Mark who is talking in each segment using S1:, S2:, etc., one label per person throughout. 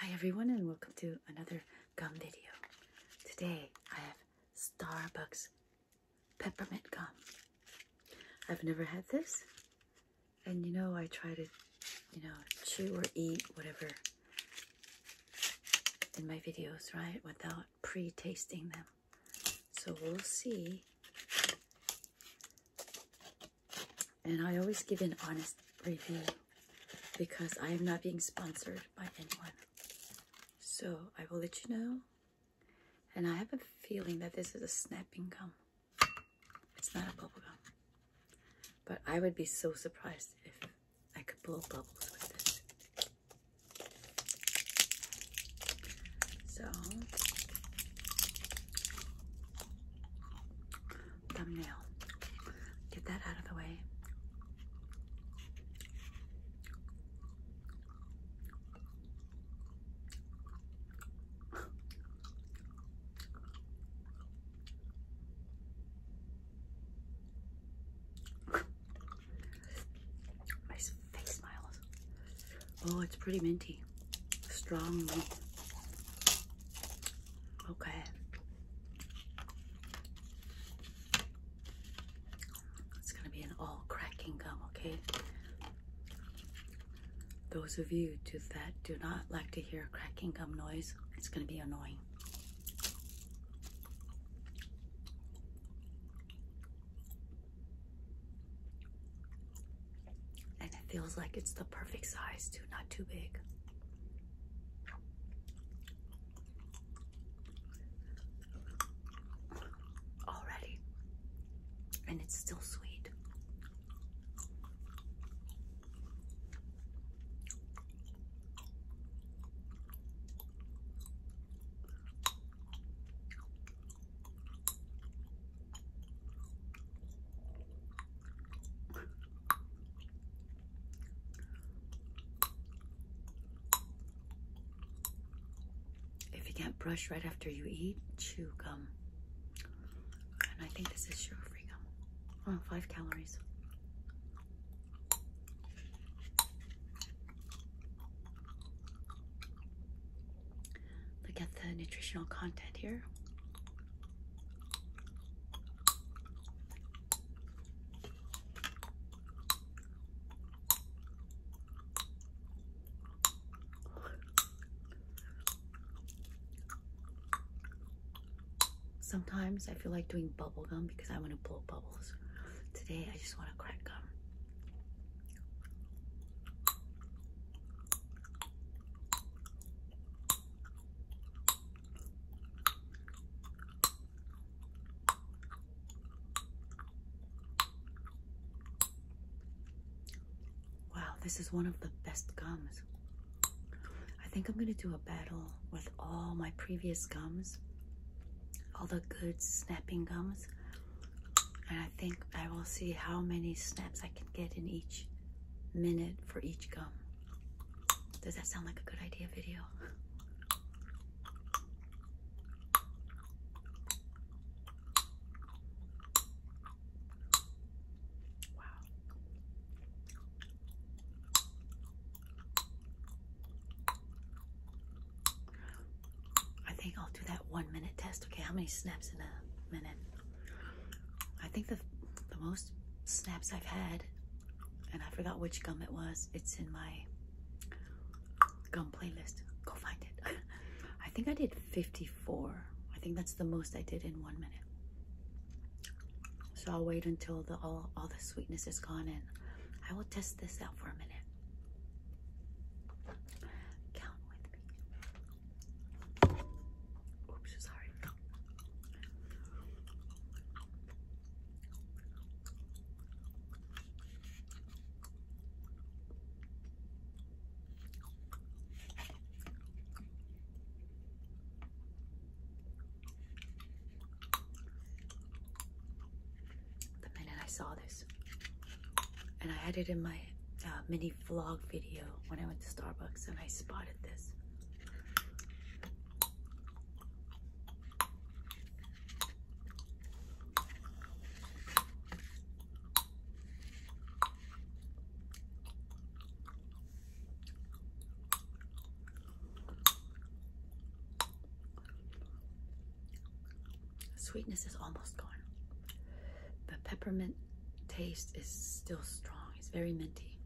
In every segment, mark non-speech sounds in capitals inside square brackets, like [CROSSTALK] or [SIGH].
S1: Hi everyone and welcome to another gum video. Today I have Starbucks peppermint gum. I've never had this and you know I try to you know chew or eat whatever in my videos right without pre-tasting them. So we'll see and I always give an honest review because I am not being sponsored by anyone. So I will let you know. And I have a feeling that this is a snapping gum. It's not a bubble gum. But I would be so surprised if I could blow bubbles with this. So thumbnail. Get that out of the way. My [LAUGHS] face smiles. Oh, it's pretty minty. Strong. Okay. It's going to be an all cracking gum, okay? Those of you that do not like to hear cracking gum noise, it's going to be annoying and it feels like it's the perfect size too, not too big. Already, and it's still sweet. If you can't brush right after you eat, chew gum. And I think this is sugar-free gum. Oh, five calories. Look at the nutritional content here. Sometimes I feel like doing bubble gum because I want to blow bubbles. Today I just want to crack gum. Wow, this is one of the best gums. I think I'm gonna do a battle with all my previous gums, all the good snapping gums. And I think I will see how many snaps I can get in each minute for each gum. Does that sound like a good idea video? Wow. I think I'll do that one minute test. Okay, how many snaps in a minute? I think the the most snaps I've had, and I forgot which gum it was. It's in my gum playlist. Go find it. [LAUGHS] I think I did 54. I think that's the most I did in one minute. So I'll wait until all all the sweetness is gone, and I will test this out for a minute. Count with me. Oops, sorry. The minute I saw this, and I had it in my uh, mini vlog video when I went to Starbucks and I spotted this sweetness is almost gone. The peppermint taste is still strong. It's very minty.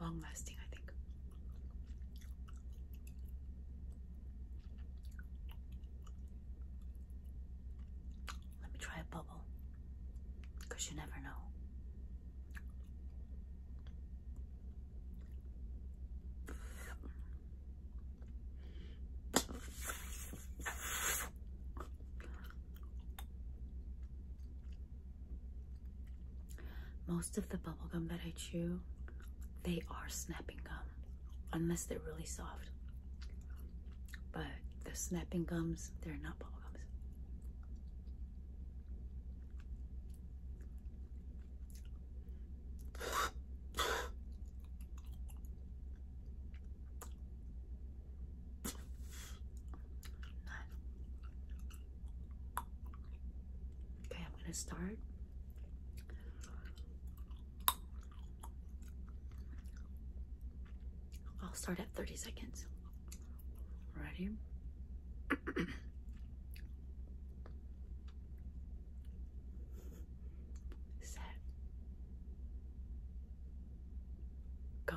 S1: Long lasting, I think. Let me try a bubble because you never know. Most of the bubblegum that I chew, they are snapping gum, unless they're really soft. But the snapping gums, they're not bubblegums. Okay, I'm gonna start. I'll start at 30 seconds. Ready? Set. Go.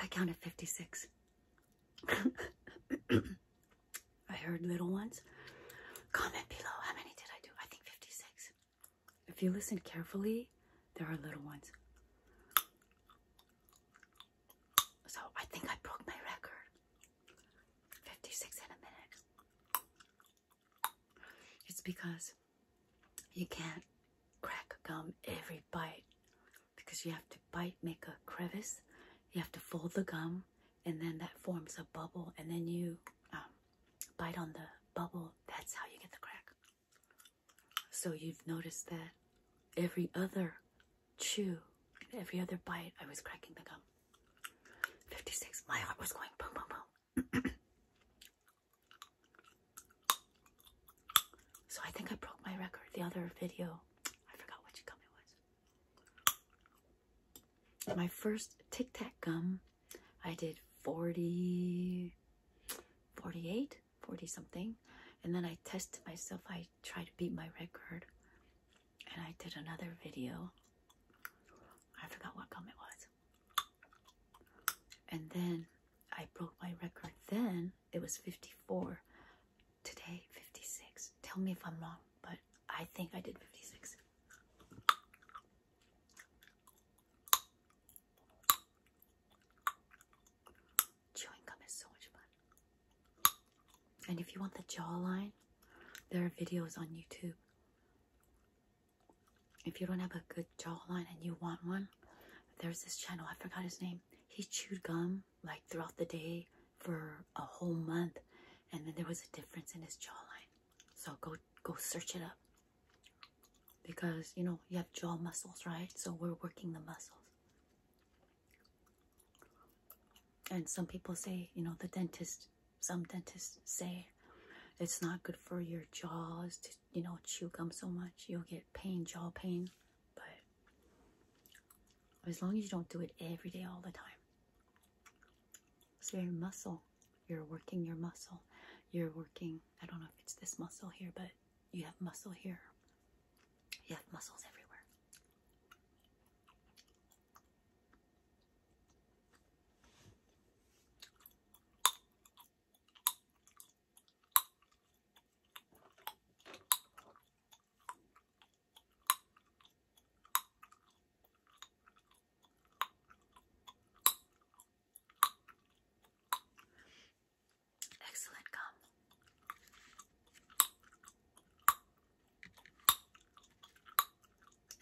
S1: I counted 56. [COUGHS] I heard little ones. Comment below how many did I do? I think 56. If you listen carefully, there are little ones. So I think I broke my record. 56 in a minute. It's because you can't crack gum every bite because you have to bite, make a crevice, you have to fold the gum, and then that forms a bubble, and then you um, bite on the bubble, that's how you get the crack. So you've noticed that every other chew, every other bite, I was cracking the gum. 56, my heart was going boom, boom, boom. [CLEARS THROAT] so I think I broke my record. The other video, I forgot which gum it was my first Tic Tac gum, I did 40, 48, 40 something. And then I tested myself. I tried to beat my record. And I did another video. I forgot what gum it was. And then I broke my record. Then it was 54. Today, 56. Tell me if I'm wrong, but I think I did 56. Chewing gum is so much fun. And if you want the jawline, there are videos on YouTube. If you don't have a good jawline and you want one, there's this channel, I forgot his name. He chewed gum like throughout the day for a whole month, and then there was a difference in his jawline. So go go search it up because you know you have jaw muscles, right? So we're working the muscles. And some people say, you know, the dentist, some dentists say it's not good for your jaws to, you know, chew gum so much. You'll get pain, jaw pain. But as long as you don't do it every day all the time. So your muscle, you're working your muscle. You're working, I don't know if it's this muscle here, but you have muscle here. You have muscles everywhere. Excellent gum.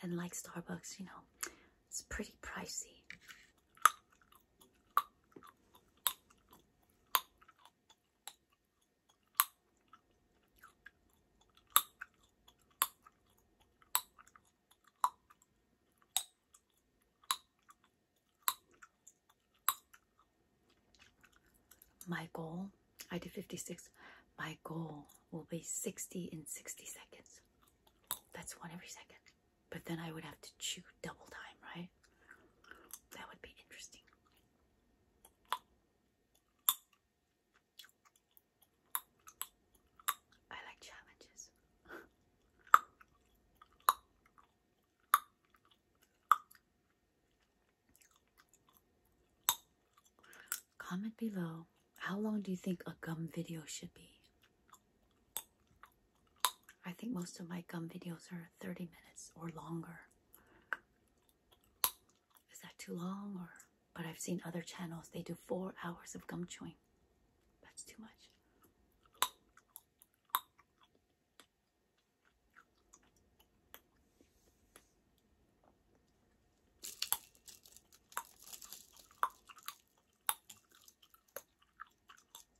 S1: And like Starbucks, you know, it's pretty pricey. My goal, I did 56. My goal will be 60 in 60 seconds. That's one every second. But then I would have to chew double time, right? That would be interesting. I like challenges. Comment below how long do you think a gum video should be? I think most of my gum videos are 30 minutes or longer. Is that too long or but I've seen other channels they do four hours of gum chewing. That's too much.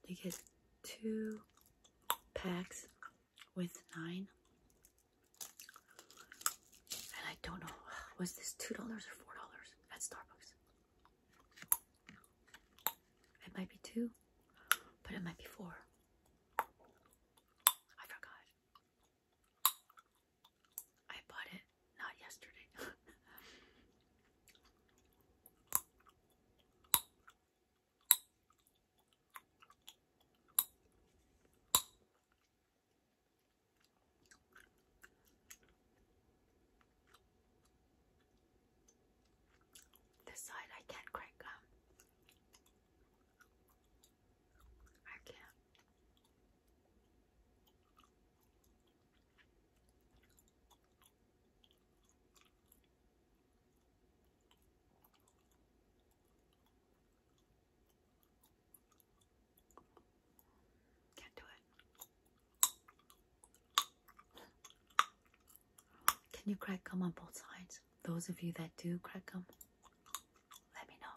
S1: They get two packs with nine. And I don't know, [SIGHS] was this $2 or $4 at Starbucks? It might be two, but it might be four. I forgot. I bought it not yesterday. [LAUGHS] This side I can't crack gum. I can't. Can't do it. Can you crack gum on both sides? Those of you that do crack gum, let me know.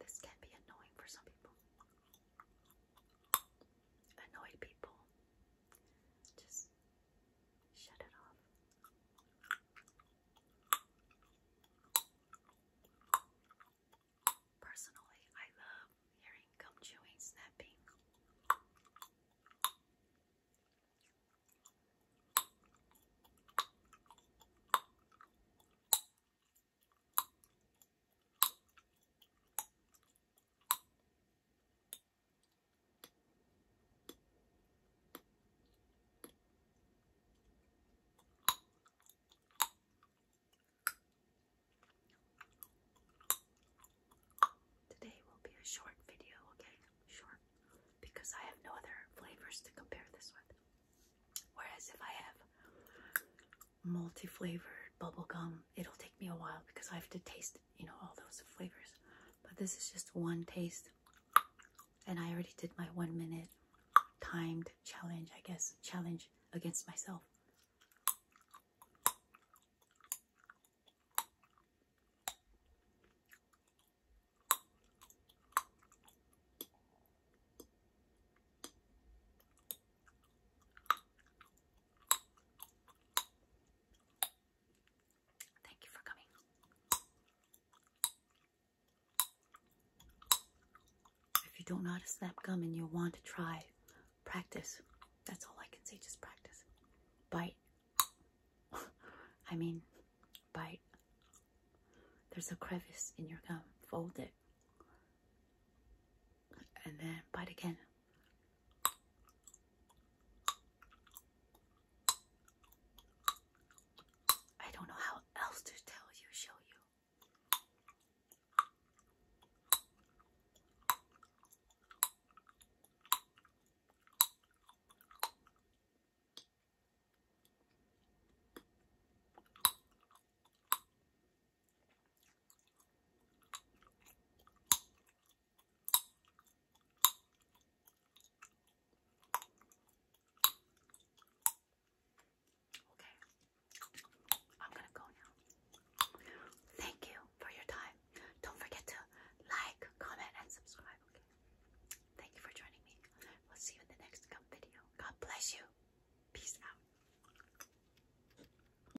S1: This can be annoying for some people. Annoyed people just Shut it off. Personally, I love hearing gum chewing snapping. Today will be a short video, okay? Short. Because I have no other flavors to compare this with. Whereas if I have multi-flavored bubblegum, it'll take me a while because I have to taste you know, all those flavors. But this is just one taste. And I already did my one minute timed challenge, I guess, challenge against myself. Thank you for coming. If you don't know how gum and you want to try, practice. That's all I can say, just practice. Bite. [LAUGHS] I mean, bite. There's a crevice in your gum. Fold it. And then bite again. I don't know how else to tell you, show you. Okay, I'm gonna go now. Thank you for your time. Don't forget to like, comment, and subscribe. Okay, thank you for joining me. We'll see you in the next video. God bless you. Peace out.